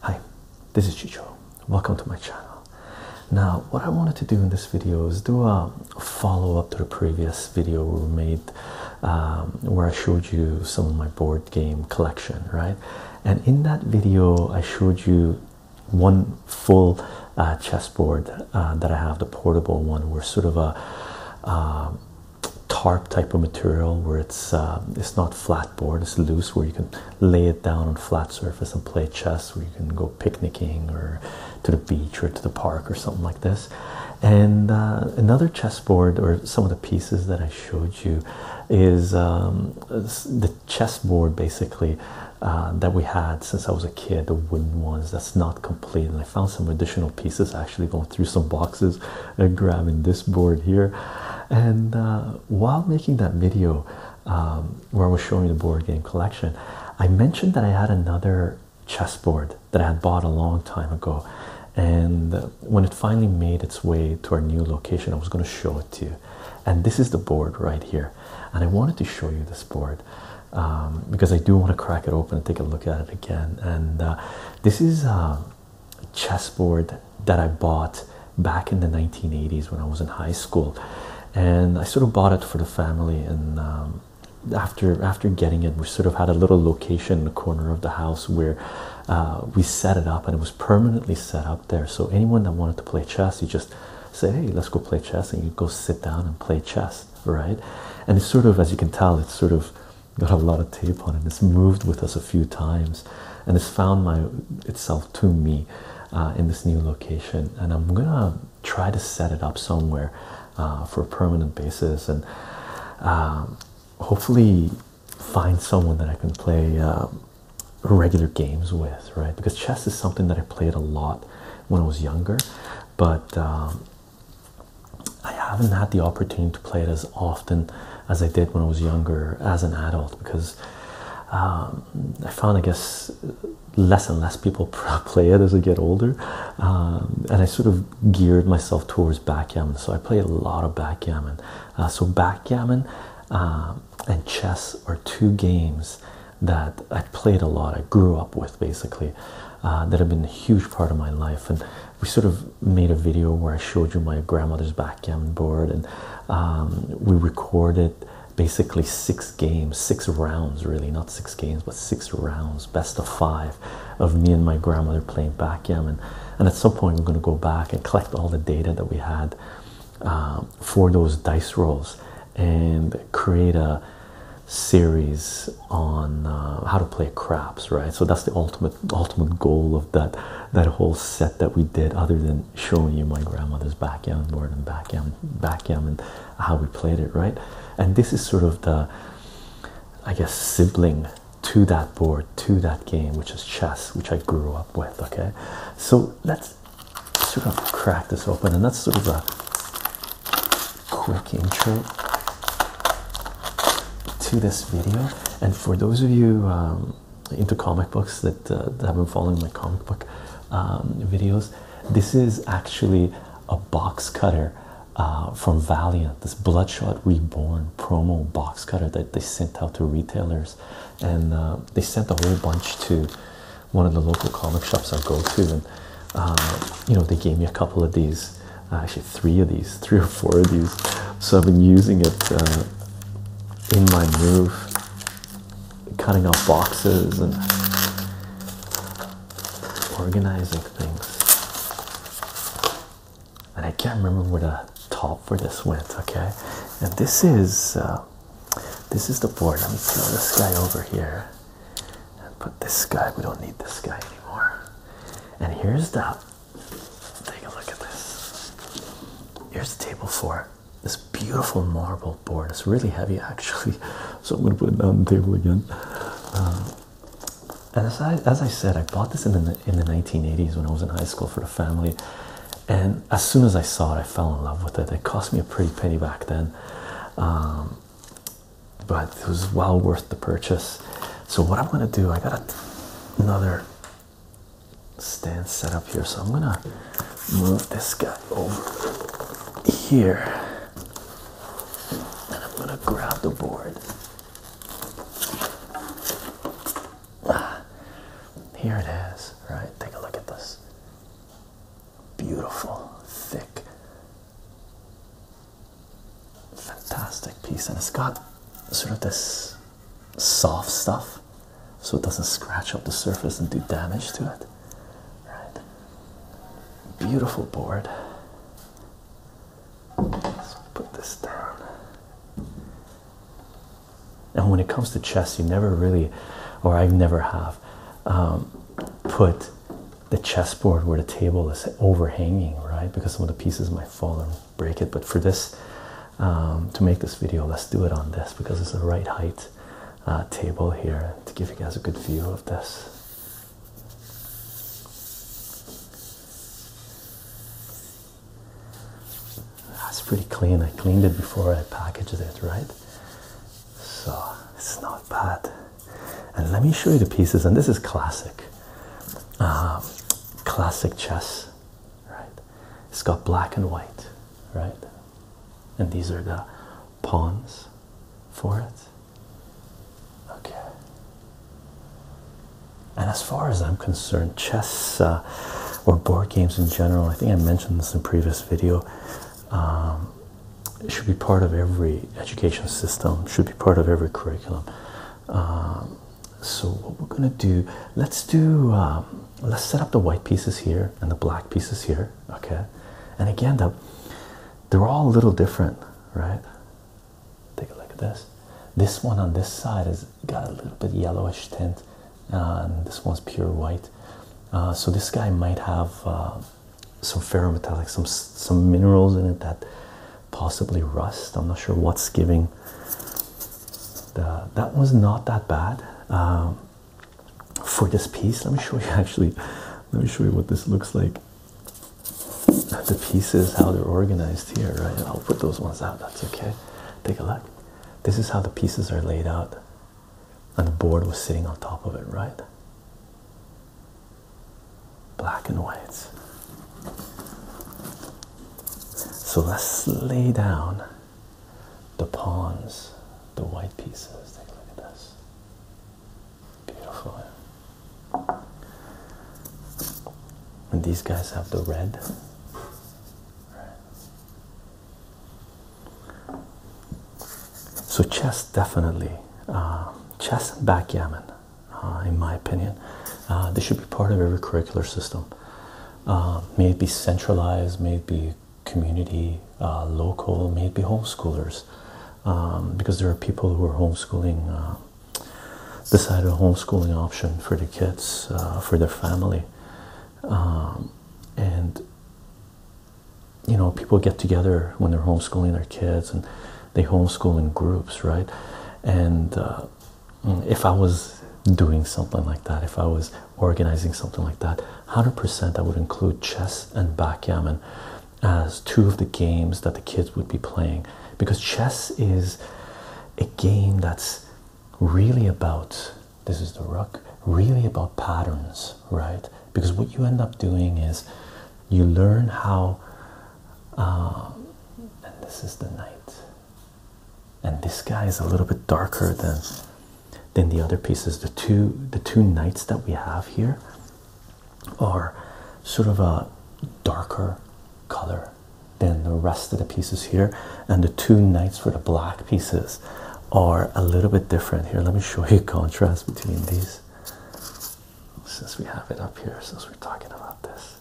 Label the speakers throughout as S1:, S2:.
S1: Hi, this is Chicho. Welcome to my channel. Now, what I wanted to do in this video is do a follow up to the previous video we made um, where I showed you some of my board game collection, right? And in that video, I showed you one full uh, chessboard uh, that I have, the portable one, where sort of a um, tarp type of material where it's um, it's not flat board, it's loose, where you can lay it down on flat surface and play chess, where you can go picnicking or to the beach or to the park or something like this. And uh, another chessboard or some of the pieces that I showed you is the. Um, chessboard basically uh, that we had since I was a kid, the wooden ones that's not complete. And I found some additional pieces actually going through some boxes and grabbing this board here. And uh, while making that video um, where I was showing the board game collection, I mentioned that I had another chessboard that I had bought a long time ago. And when it finally made its way to our new location, I was going to show it to you and this is the board right here and i wanted to show you this board um, because i do want to crack it open and take a look at it again and uh, this is um, a chessboard that i bought back in the 1980s when i was in high school and i sort of bought it for the family and um, after after getting it we sort of had a little location in the corner of the house where uh, we set it up and it was permanently set up there. So anyone that wanted to play chess, you just say, hey, let's go play chess, and you go sit down and play chess, right? And it's sort of, as you can tell, it's sort of got a lot of tape on it. It's moved with us a few times, and it's found my itself to me uh, in this new location. And I'm gonna try to set it up somewhere uh, for a permanent basis, and um, hopefully find someone that I can play um, regular games with, right? Because chess is something that I played a lot when I was younger, but um, I haven't had the opportunity to play it as often as I did when I was younger as an adult because um, I found, I guess, less and less people play it as I get older. Um, and I sort of geared myself towards backgammon, so I play a lot of backgammon. Uh, so, backgammon and chess are two games that I played a lot, I grew up with basically, uh, that have been a huge part of my life. And we sort of made a video where I showed you my grandmother's backgammon board, and um, we recorded basically six games, six rounds really, not six games, but six rounds, best of five, of me and my grandmother playing backgammon. And at some point, I'm going to go back and collect all the data that we had. Um, for those dice rolls and create a series on uh, how to play craps right so that's the ultimate ultimate goal of that that whole set that we did other than showing you my grandmother's backgammon board and backgammon backgammon how we played it right and this is sort of the i guess sibling to that board to that game which is chess which i grew up with okay so let's sort of crack this open, and that's sort of a quick intro to this video. And for those of you um, into comic books uh, that, have been following my comic book um, videos, this is actually a box cutter uh, from Valiant, this Bloodshot Reborn promo box cutter that they sent out to retailers and uh, they sent a whole bunch to one of the local comic shops I go to, and uh, you know they gave me a couple of these, uh, actually three of these, three or four of these. So I've been using it in my move, cutting out boxes and organizing things. And I can't remember where the top for this went. Okay, and this is. This is the board. Let me throw this guy over here and put this guy. We don't need this guy anymore. And here's the take a look at this. Here's table for this beautiful marble board. It's really heavy actually, so I'm gonna put it on the table again. and uh, as I, as I said, I bought this in the in the 1980s when I was in high school for the family, and as soon as I saw it, I fell in love with it. It cost me a pretty penny back then, um, but it was well worth the purchase. So what I'm gonna do, I got another stand set up here, so I'm gonna move this guy over here, and I'm gonna grab the board. Ah, here it is, right? Take a look at this. Beautiful, thick, fantastic piece. And it's got sort of this soft stuff so it doesn't scratch up the surface and do damage to it. Right. Beautiful board. Let's put this down. And when it comes to chess, you never really, or I never have, um, put the chessboard where the table is overhanging, right? Because some of the pieces might fall and break it. But for this, um, to make this video, let's do it on this because it's the right height uh, table here to give you guys a good view of this. That's pretty clean. I cleaned it before I packaged it, right? So it's not bad. And let me show you the pieces. And this is classic, um, classic chess, right? It's got black and white, right? And these are the pawns for it. Okay. And as far as I'm concerned, chess. Uh, uh, or board games in general. I think I mentioned this in a previous video. Um, should be part of every education system. Should be part of every curriculum. Um, so what we're gonna do? Let's do. Um, let's set up the white pieces here and the black pieces here. Okay, and again, the, they're all a little different, right? Take a look at this. This one on this side is got a little bit yellowish tint, uh, and this one's pure white. Uh, so this guy might have uh, some ferrometallic, some some minerals in it that possibly rust. I'm not sure what's giving. The, that was not that bad um, for this piece. Let me show you actually. Let me show you what this looks like. The pieces, how they're organized here, right? I'll put those ones out. That's okay. Take a look. This is how the pieces are laid out, and the board was sitting on top of it, right? Black and whites. So let's lay down the pawns, the white pieces. Take a look at this. Beautiful. And these guys have the red. So chess definitely, uh, chess and backgammon, uh, in my opinion, uh, they should be part of every curricular system. Uh, may be centralized, may be community, uh, local, may be homeschoolers, um, because there are people who are homeschooling. Uh, decided a homeschooling option for the kids uh, for their family um, and you know people get together when they're homeschooling their kids and they homeschool in groups right and uh, mm, if i was doing something like that if i was organizing something like that 100% i would include chess and backgammon as two of the games that the kids would be playing because chess is a game that's really about this is the rook really about patterns right because what you end up doing is you learn how uh, and this is the night and this guy is a little bit darker than than the other pieces the two the two nights that we have here are sort of a darker color than the rest of the pieces here, and the two knights for the black pieces are a little bit different here. Let me show you contrast between these since we have it up here, since we're talking about this.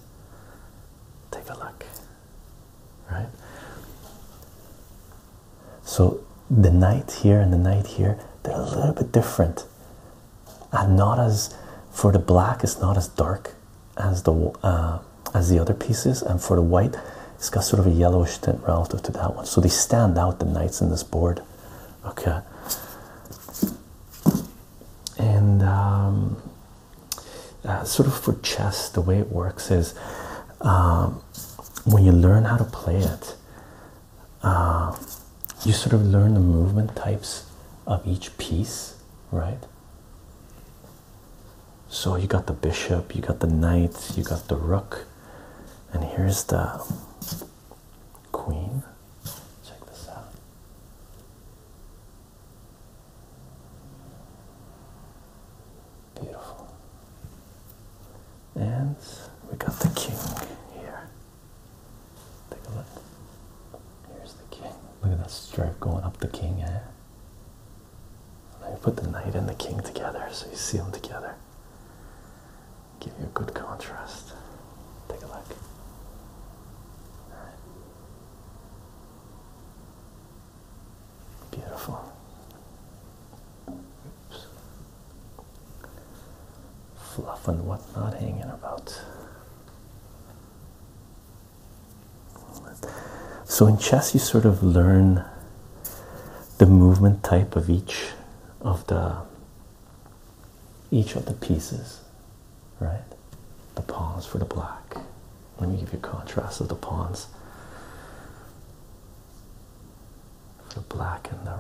S1: Take a look, right? So the knight here and the knight here, they're a little bit different. And uh, not as for the black, it's not as dark as the uh, as the other pieces, and for the white, it's got sort of a yellowish tint relative to that one. So they stand out the knights in this board. Okay. And um, uh, sort of for chess, the way it works is um, when you learn how to play it, uh, you sort of learn the movement types of each piece, right? So you got the bishop, you got the knight, you got the rook, and here's the queen. Check this out. Beautiful. And we got the king here. Take a look. Here's the king. Look at that stripe going up the king, eh? I put the knight and the king together so you see them together. Give you a good contrast. Take a look. Beautiful. Oops. Fluff and whatnot hanging about. So in chess, you sort of learn the movement type of each of the each of the pieces, right? The pawns for the black. Let me give you a contrast of the pawns. The black and the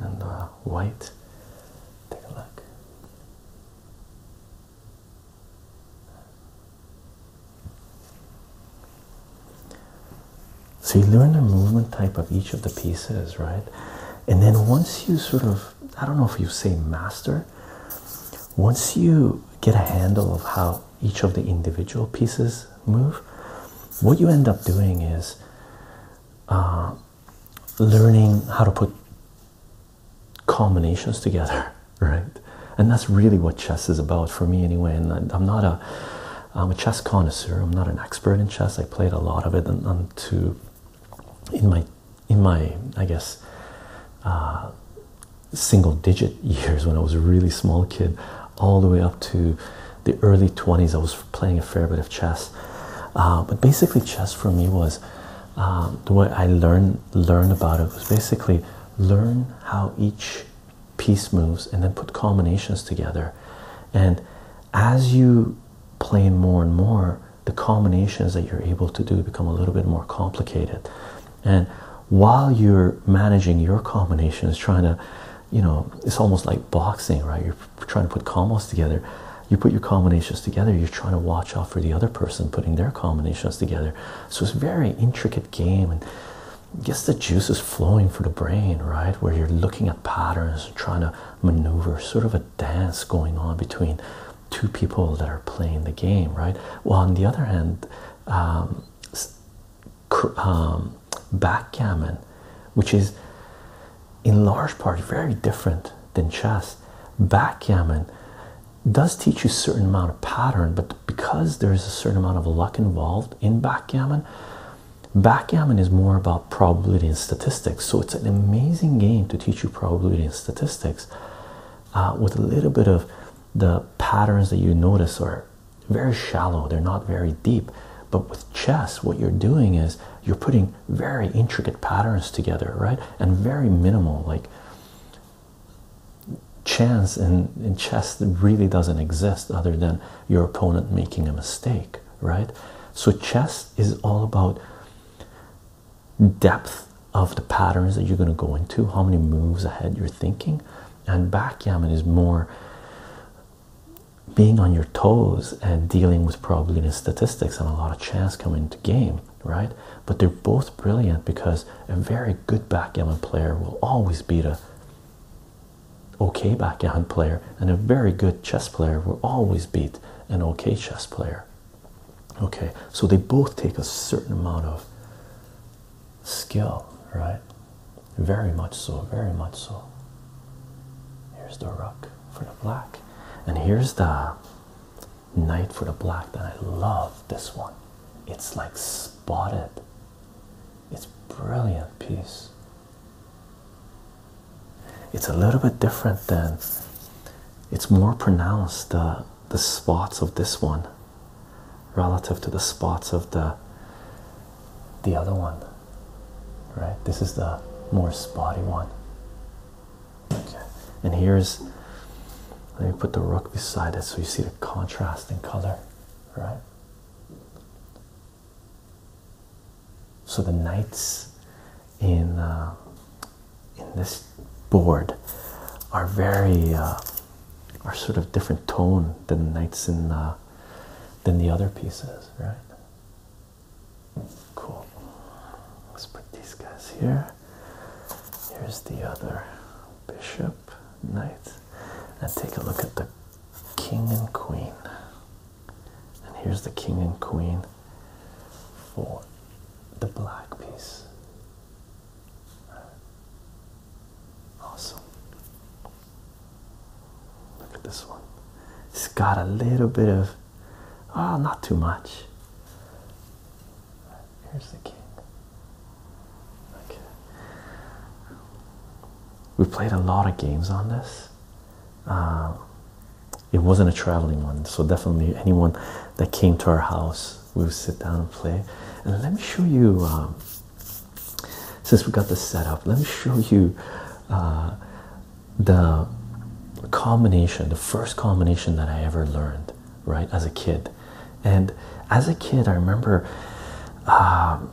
S1: and the white. Take a look. So you learn the movement type of each of the pieces, right? And then once you sort of, I don't know if you say master, once you get a handle of how each of the individual pieces move, what you end up doing is uh, learning how to put combinations together, right? And that's really what chess is about for me, anyway. And I'm not a, I'm a chess connoisseur. I'm not an expert in chess. I played a lot of it, and, to, in my, in my, I guess, uh, single-digit years when I was a really small kid, all the way up to the early 20s, I was playing a fair bit of chess. Uh, but basically, chess for me was uh, the way I learned learn about it was basically learn how each piece moves and then put combinations together. And as you play more and more, the combinations that you're able to do become a little bit more complicated. And while you're managing your combinations, trying to, you know, it's almost like boxing, right? You're trying to put combos together. You put your combinations together, you're trying to watch out for the other person putting their combinations together. So it's a very intricate game and guess the juice is flowing for the brain, right? Where you're looking at patterns, trying to maneuver, sort of a dance going on between two people that are playing the game, right? Well, on the other hand, um, um, backgammon, which is in large part very different than chess, backgammon does teach you a certain amount of pattern, but because there is a certain amount of luck involved in backgammon, backgammon is more about probability and statistics. So it's an amazing game to teach you probability and statistics uh, with a little bit of the patterns that you notice are very shallow, they're not very deep. But with chess, what you're doing is you're putting very intricate patterns together, right? And very minimal, like chance in, in chess really doesn't exist other than your opponent making a mistake, right? So, chess is all about depth of the patterns that you're going to go into, how many moves ahead you're thinking, and backgammon is more being on your toes and dealing with probability and statistics and a lot of chance coming to game right? But they're both brilliant because a very good backgammon player will always beat a okay backgammon player, and a very good chess player will always beat an okay chess player. Okay, so they both take a certain amount of skill, right? Very much so, very much so. Here's the rook for the black, and here's the Knight for the black and I love this one. It's like spotted. It's brilliant piece. It's a little bit different than it's more pronounced the the spots of this one relative to the spots of the the other one. Right? This is the more spotty one. Okay, and here's let me put the rook beside it so you see the contrasting color, right? So the knights in uh, in this board are very uh, are sort of different tone than knights in uh, than the other pieces, right? Cool. Let's put these guys here. Here's the other bishop, knight, and take a look at the king and queen. And here's the king and queen for the black piece. Awesome. Look at this one. It's got a little bit of, oh, not too much. Here's the king. Okay. We played a lot of games on this. Um, it wasn't a traveling one, so definitely anyone that came to our house, we would sit down and play. And let me show you, um, since we got this set up, let me show you uh, the combination, the first combination that I ever learned right as a kid and as a kid i remember um,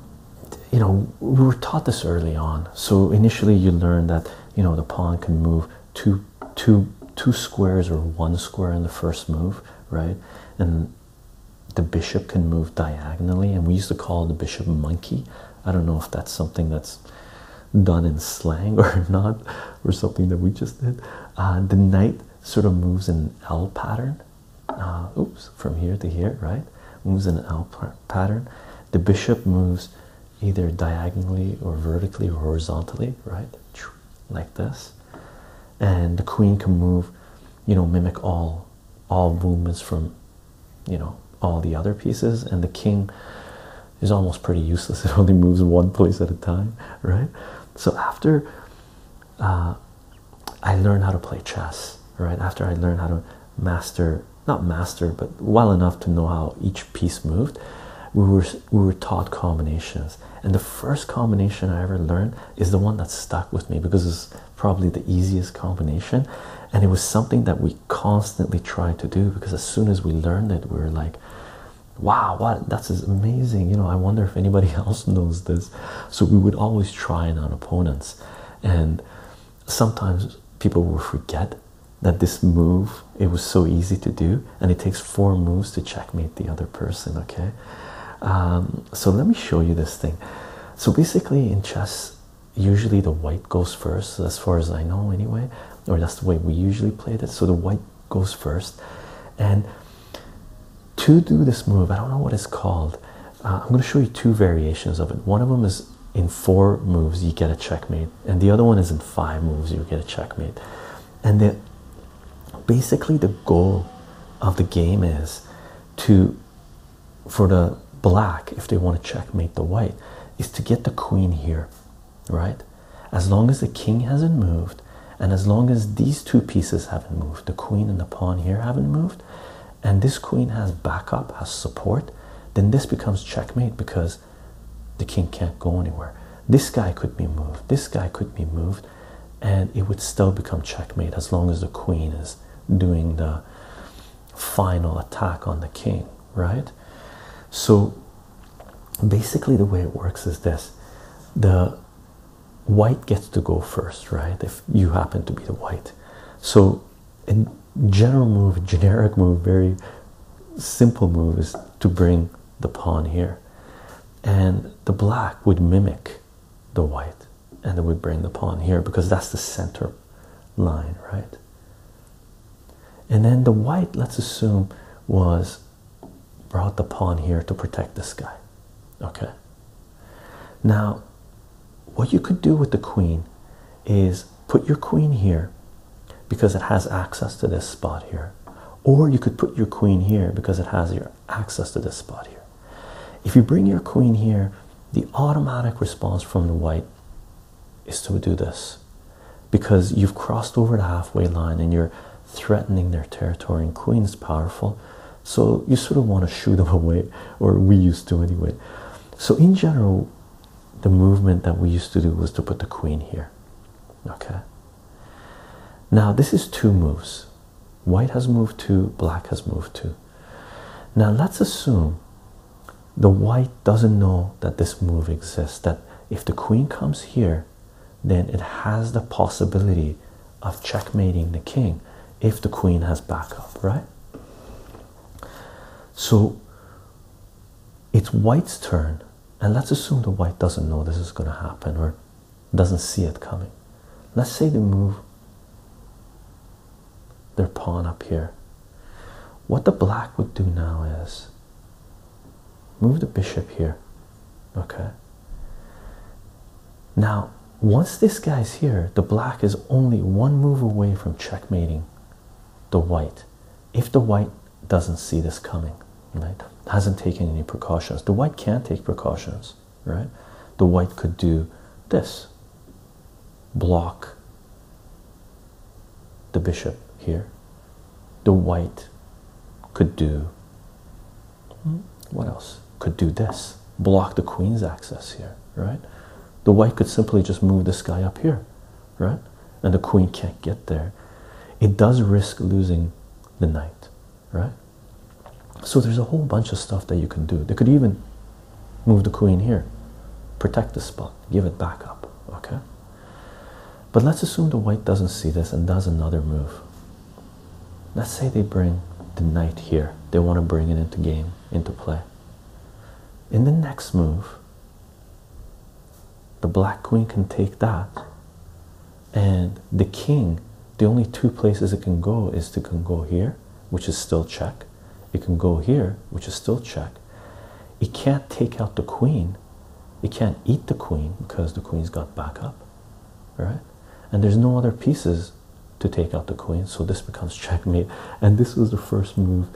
S1: you know we were taught this early on so initially you learn that you know the pawn can move two two two squares or one square in the first move right and the bishop can move diagonally and we used to call the bishop monkey i don't know if that's something that's done in slang or not, or something that we just did. Uh, the knight sort of moves in an L pattern. Uh, oops, from here to here, right? Moves in an L pattern. The bishop moves either diagonally or vertically or horizontally, right? Like this. And the queen can move, you know, mimic all all movements from, you know, all the other pieces. And the king is almost pretty useless. It only moves one place at a time, right? So after uh, I learned how to play chess, right? After I learned how to master, not master, but well enough to know how each piece moved, we were we were taught combinations. And the first combination I ever learned is the one that stuck with me because it's probably the easiest combination. And it was something that we constantly tried to do because as soon as we learned it, we were like, wow what that's amazing you know i wonder if anybody else knows this so we would always try it on opponents and sometimes people will forget that this move it was so easy to do and it takes four moves to checkmate the other person okay um, so let me show you this thing so basically in chess usually the white goes first as far as i know anyway or that's the way we usually play. it so the white goes first. And to do this move, I don't know what it's called. Uh, I'm going to show you two variations of it. One of them is in four moves, you get a checkmate, and the other one is in five moves, you get a checkmate. And the, basically, the goal of the game is to for the black, if they want to checkmate the white, is to get the queen here right? As long as the king hasn't moved, and as long as these two pieces haven't moved, the queen and the pawn here haven't moved, and this queen has backup, has support, then this becomes checkmate because the king can't go anywhere. This guy could be moved, this guy could be moved, and it would still become checkmate as long as the queen is doing the final attack on the king, right? So basically the way it works is this the white gets to go first right if you happen to be the white so a general move a generic move very simple move is to bring the pawn here and the black would mimic the white and it would bring the pawn here because that's the center line right and then the white let's assume was brought the pawn here to protect this guy. Okay. Now, what you could do with the queen is put your queen here because it has access to this spot here, or you could put your queen here because it has your access to this spot here. If you bring your queen here, the automatic response from the white is to do this because you've crossed over the halfway line and you're threatening their territory and queen is powerful so you sort of want to shoot them away or we used to anyway so in general the movement that we used to do was to put the queen here okay now this is two moves white has moved two black has moved two now let's assume the white doesn't know that this move exists that if the queen comes here, then it has the possibility of checkmating the king if the queen has backup, right? So it's white's turn, and let's assume the white doesn't know this is going to happen or doesn't see it coming. Let's say they move their pawn up here. What the black would do now is Move the bishop here. Okay. Now, once this guy's here, the black is only one move away from checkmating the white. If the white doesn't see this coming, right? Hasn't taken any precautions. The white can not take precautions, right? The white could do this block the bishop here. The white could do what else? Could do this, block the queen's access here, right? The white could simply just move this guy up here, right? And the queen can't get there. It does risk losing the knight, right? So there's a whole bunch of stuff that you can do. They could even move the queen here, protect the spot, give it back up, okay? But let's assume the white doesn't see this and does another move. Let's say they bring the knight here. They want to bring it into game, into play. In the next move, the black queen can take that. And the king, the only two places it can go is to can go here, which is still check. It can go here, which is still check. It can't take out the queen they can't eat the queen because the queen's got backup, right? And there's no other pieces to take out the queen, so this becomes checkmate. And this was the first move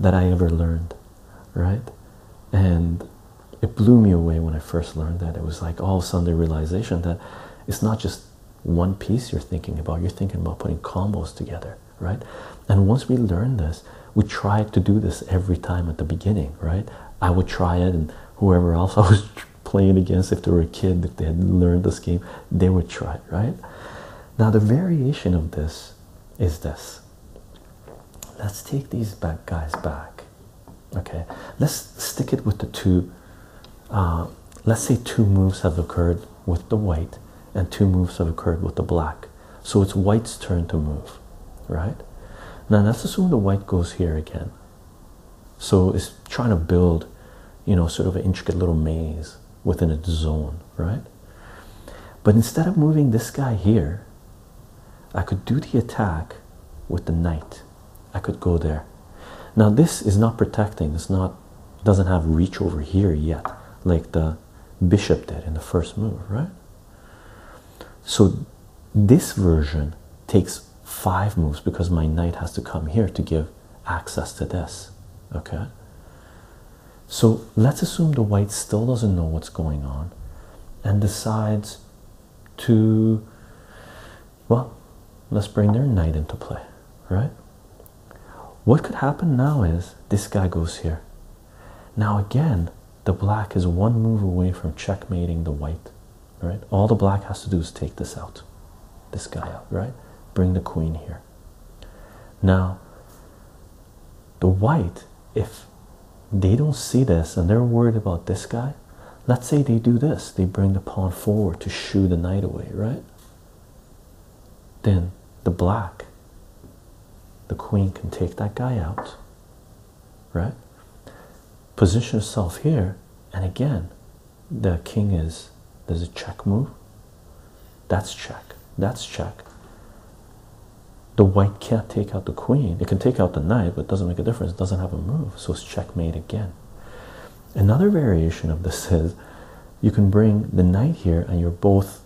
S1: that I ever learned, right? And it blew me away when I first learned that. It was like all of a sudden the realization that it's not just one piece you're thinking about, you're thinking about putting combos together, right? And once we learn this, we tried to do this every time at the beginning, right? I would try it, and whoever else I was playing against, if they were a kid, if they had learned this game, they would try right? Now, the variation of this is this. Let's take these back guys back, okay? Let's stick it with the two. Uh, let's say two moves have occurred with the white, and two moves have occurred with the black. So it's white's turn to move, right? Now let's assume the white goes here again. So it's trying to build, you know, sort of an intricate little maze within its zone, right? But instead of moving this guy here, I could do the attack with the knight. I could go there. Now this is not protecting, it's not doesn't have reach over here yet, like the bishop did in the first move, right? So this version takes five moves because my knight has to come here to give access to this. Okay. So let's assume the white still doesn't know what's going on and decides to, well, let's bring their knight into play, right? What could happen now is this guy goes here. Now, again, the black is one move away from checkmating the white, right? All the black has to do is take this out, this guy out, right? Bring the queen here. Now, the white, if they don't see this and they're worried about this guy, let's say they do this, they bring the pawn forward to shoo the knight away, right? Then the black the queen can take that guy out, right? Position yourself here, and again, the king is there's a check move. That's check, that's check. The white can't take out the queen, it can take out the knight, but it doesn't make a difference, it doesn't have a move, so it's checkmate again. Another variation of this is you can bring the knight here, and you're both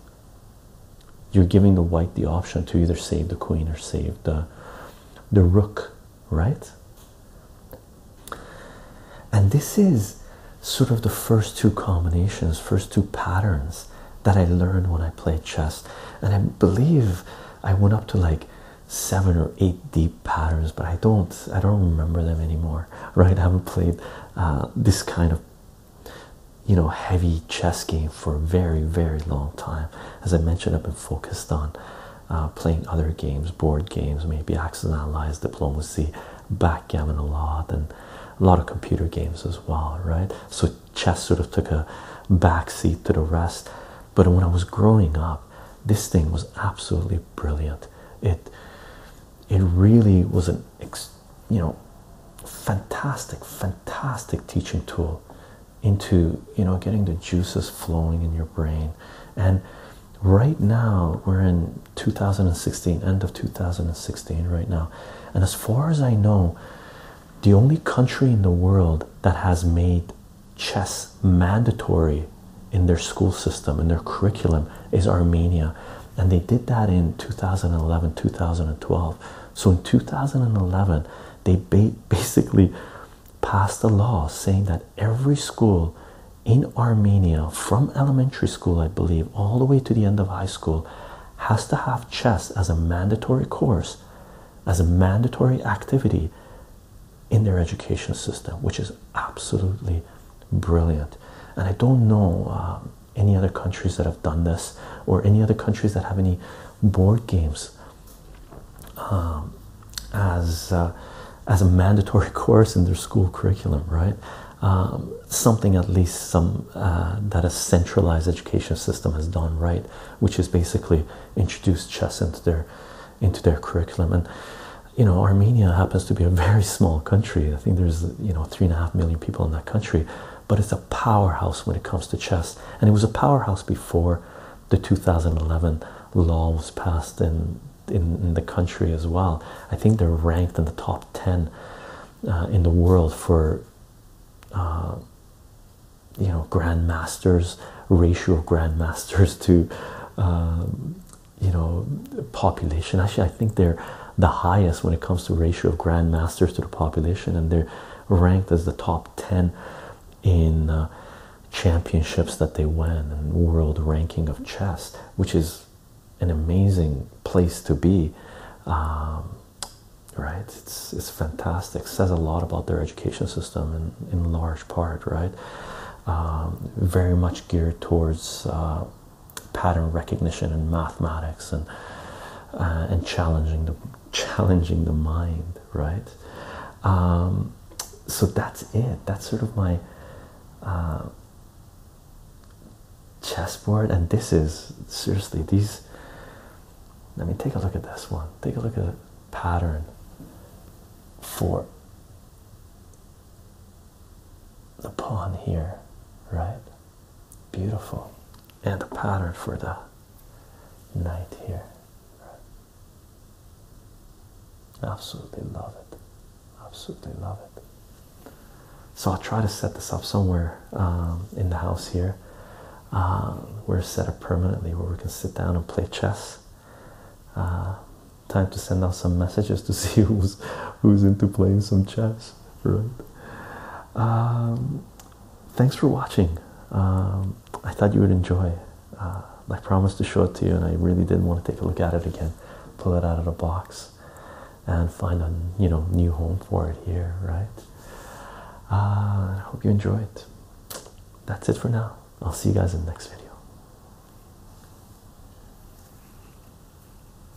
S1: you're giving the white the option to either save the queen or save the the rook, right? And this is sort of the first two combinations, first two patterns that I learned when I played chess. And I believe I went up to like seven or eight deep patterns, but I don't I don't remember them anymore, right? I haven't played uh, this kind of you know, heavy chess game for a very, very long time. As I mentioned, I've been focused on uh, playing other games, board games, maybe Axis and Allies, Diplomacy, Backgammon a lot, and a lot of computer games as well, right? So chess sort of took a backseat to the rest. But when I was growing up, this thing was absolutely brilliant. It it really was an you know, fantastic, fantastic teaching tool into, you know, getting the juices flowing in your brain. And right now, we're in 2016, end of 2016, right now. And as far as I know, the only country in the world that has made chess mandatory in their school system, in their curriculum, is Armenia. And they did that in 2011, 2012. So in 2011, they basically passed a law saying that every school in Armenia, from elementary school, I believe, all the way to the end of high school, has to have chess as a mandatory course, as a mandatory activity in their education system, which is absolutely brilliant. And I don't know, um, any other countries that have done this or any other countries that have any board games um, as uh, as a mandatory course in their school curriculum right um, something at least some uh, that a centralized education system has done right which is basically introduced chess into their into their curriculum and you know armenia happens to be a very small country i think there's you know three and a half million people in that country but it's a powerhouse when it comes to chess, and it was a powerhouse before the 2011 law was passed in in, the country as well. I think they're ranked in the top 10 uh, in the world for uh, you know grandmasters ratio grandmasters to um, you know population. Actually, I think they're the highest when it comes to ratio of grandmasters to the population, and they're ranked as the top 10 in uh, championships that they win and world ranking of chess, which is an amazing place to be. Um, right it's it's fantastic says a lot about their education system in in large part right um, very much geared towards uh, pattern recognition and mathematics and uh, and challenging the challenging the mind, right? Um, so that's it. That's sort of my uh, chessboard, and this is seriously these. Let me take a look at this one. Take a look at a pattern for the pawn here, right? beautiful and the pattern for the night here absolutely love it absolutely love it so I'll try to set this up somewhere um, in the house here um, we're set up permanently where we can sit down and play chess uh, time to send out some messages to see who's who's into playing some chess right? Um, thanks for watching. Um, I thought you would enjoy. Uh, I promised to show it to you, and I really didn't want to take a look at it again, pull it out of the box, and find a you know new home for it here, right? Uh, I hope you enjoy it. That's it for now. I'll see you guys in the next video.